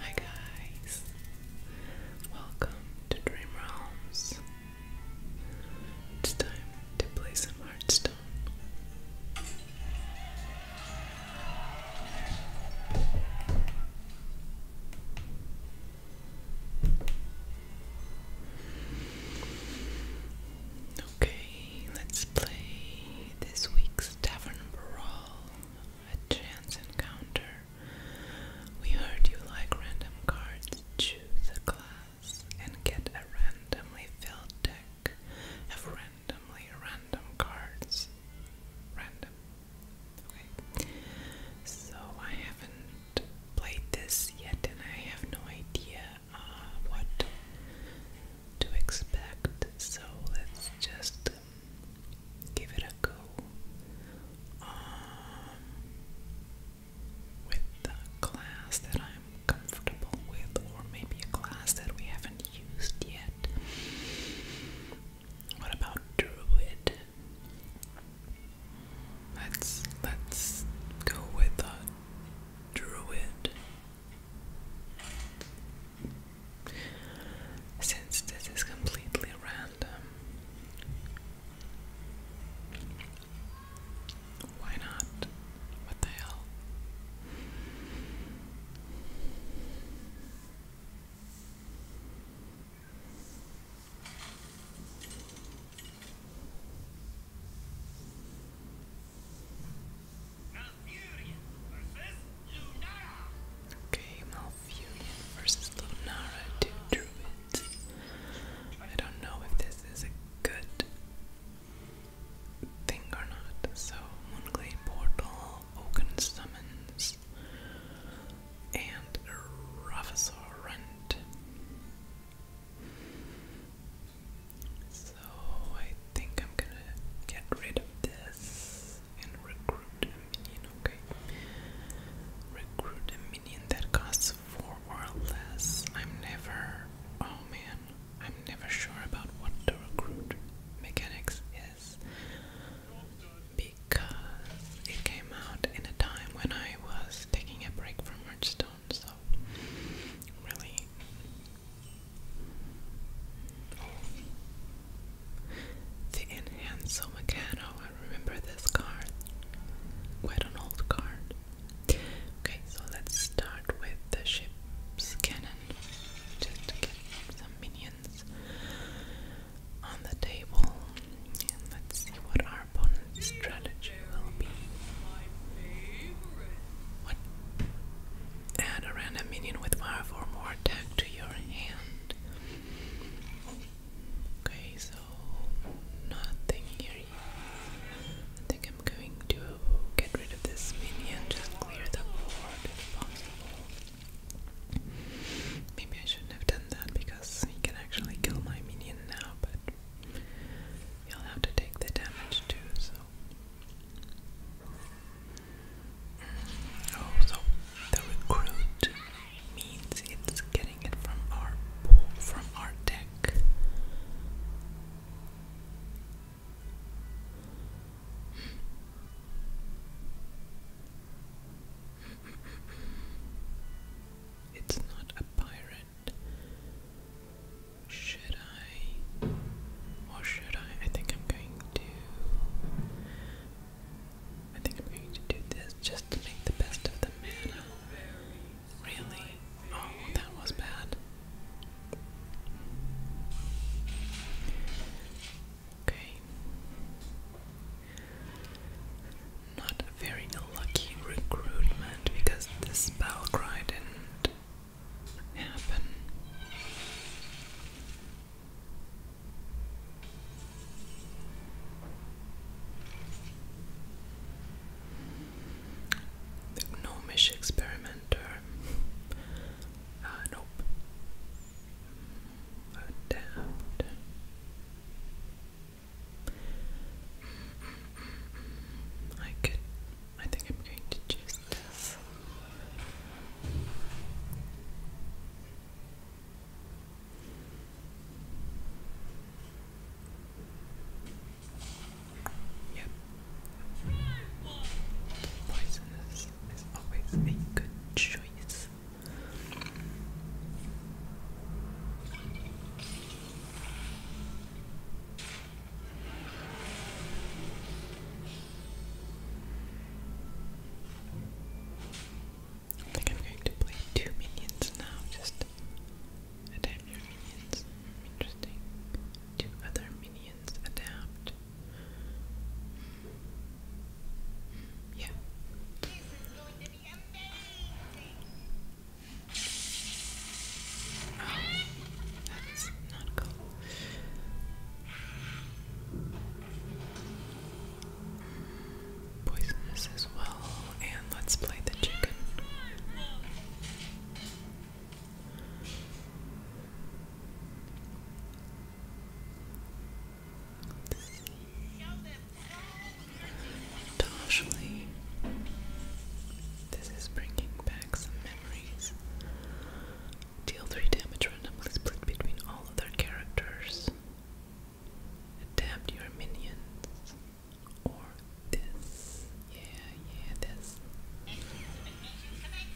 Hi guys, welcome to Dream Realms. It's time to play some Hearthstone. Okay, let's play this week's Tavern Brawl, a chance encounter. We heard you like random cards, choose a class, and get a randomly filled deck of randomly random cards. Random. Okay. So I haven't played this yet and I have no idea uh, what to expect. So let's just give it a go um, with a class that I'm comfortable with, or maybe a class that we haven't used yet. What about Druid? Let's let's go with a druid. Since this is completely random, why not? What the hell? Okay, Malfurion versus Lunara, two druids. I don't know if this is a good thing or not. So, Moonglade Portal, Oaken and Ravasaur so I think I'm gonna get rid of this and recruit a minion, okay? Recruit a minion that costs four or less. I'm never oh man, I'm never sure about what the recruit mechanics is. Because it came out in a time when I was taking a break from Hearthstone so really the Enhanzo Meccano, I remember this card, quite an old card okay, so let's start with the ship's cannon just get some minions on the table let's see what opponent's strategy will be. Add a random minion with five or more attack to your hand. Okay, so nothing here. I think I'm going to get rid of this minion, just clear the board if possible. Maybe I shouldn't have done that because he can actually kill my minion now, but You'll have to take the damage too, so. Oh, so the recruit means it's getting it from our pool, from our deck. It's not a pirate. Should I? Or should I? I think I'm going to. I think I'm going to do this just to make the best of the mana. Really? Oh, that was bad. Okay. Not a very lucky recruitment because this spell cry didn't happen. experimenter. Uh, nope. Mm, Adapt. I could. I think I'm going to choose this. Yep. Poison always a good choice this. I think I'm going to play two minions now, just adapt your minions. Interesting. Two other minions adapt. Yeah. Poisonous as well, and let's play the chicken. Ashley. This is bringing back some memories. Deal 3 damage randomly split between all of characters. Adapt your minions. Or this. Yeah, yeah, this. Maybe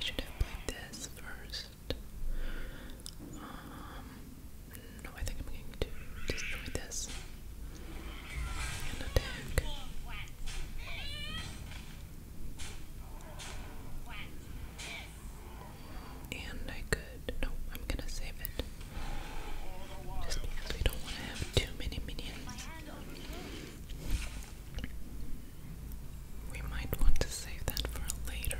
I should have played this first. Um, no, I think I'm going to destroy this And I could. No, I'm gonna save it. Just because we don't want to have too many minions. We might want to save that for later.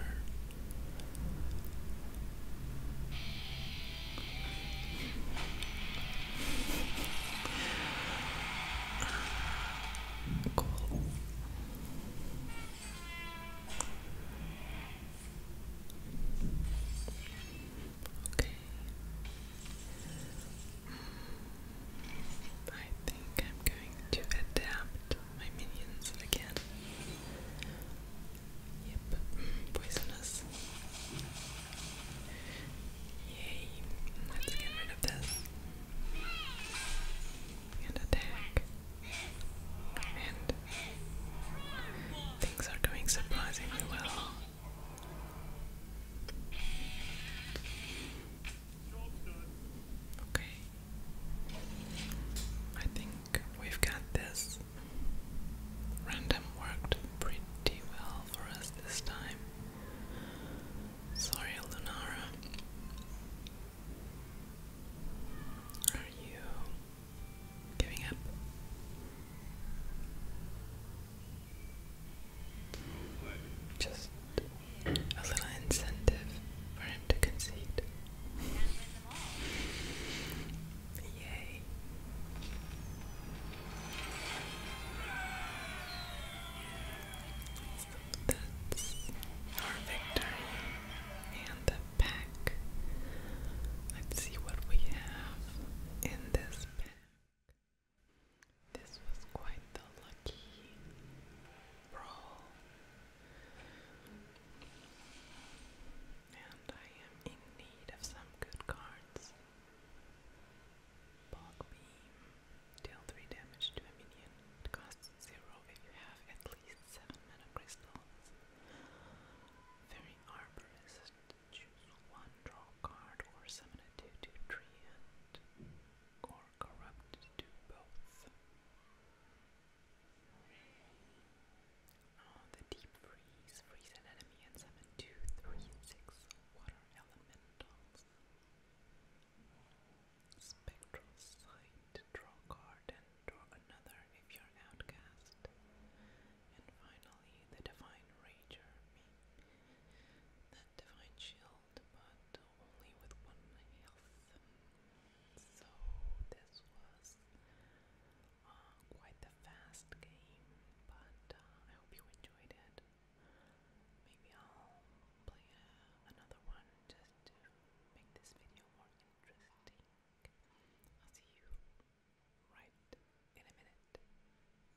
Cool. Okay. I think I'm going to adapt my minions again. Yep, mm, poisonous. Yay, let's get rid of this. And attack. And things are going surprisingly well. Okay. I think we've got this. Random worked pretty well for us this time. Sorry, Lunara. Are you giving up? Just a little incentive for him to concede. Yay. That's our victory and the pack. Let's see what we have in this pack. This was quite the lucky roll, and I am in need of some good cards. Bog Beam. Deal 3 damage to a minion. It costs 0 if you have at least 7 mana crystals. Very Arborist. Choose one draw card or summon a 2 2 or corrupt do both. Ah, the deep freeze, freeze an two, three, six water elementals. Spectral sight, draw card and draw another if you're outcast. And finally, the divine rager divine shield, but only with one health. So this was uh, quite the fast game, but uh, I hope you enjoyed it. Maybe I'll play uh, another one just to make this video more interesting. I'll see you right in a minute.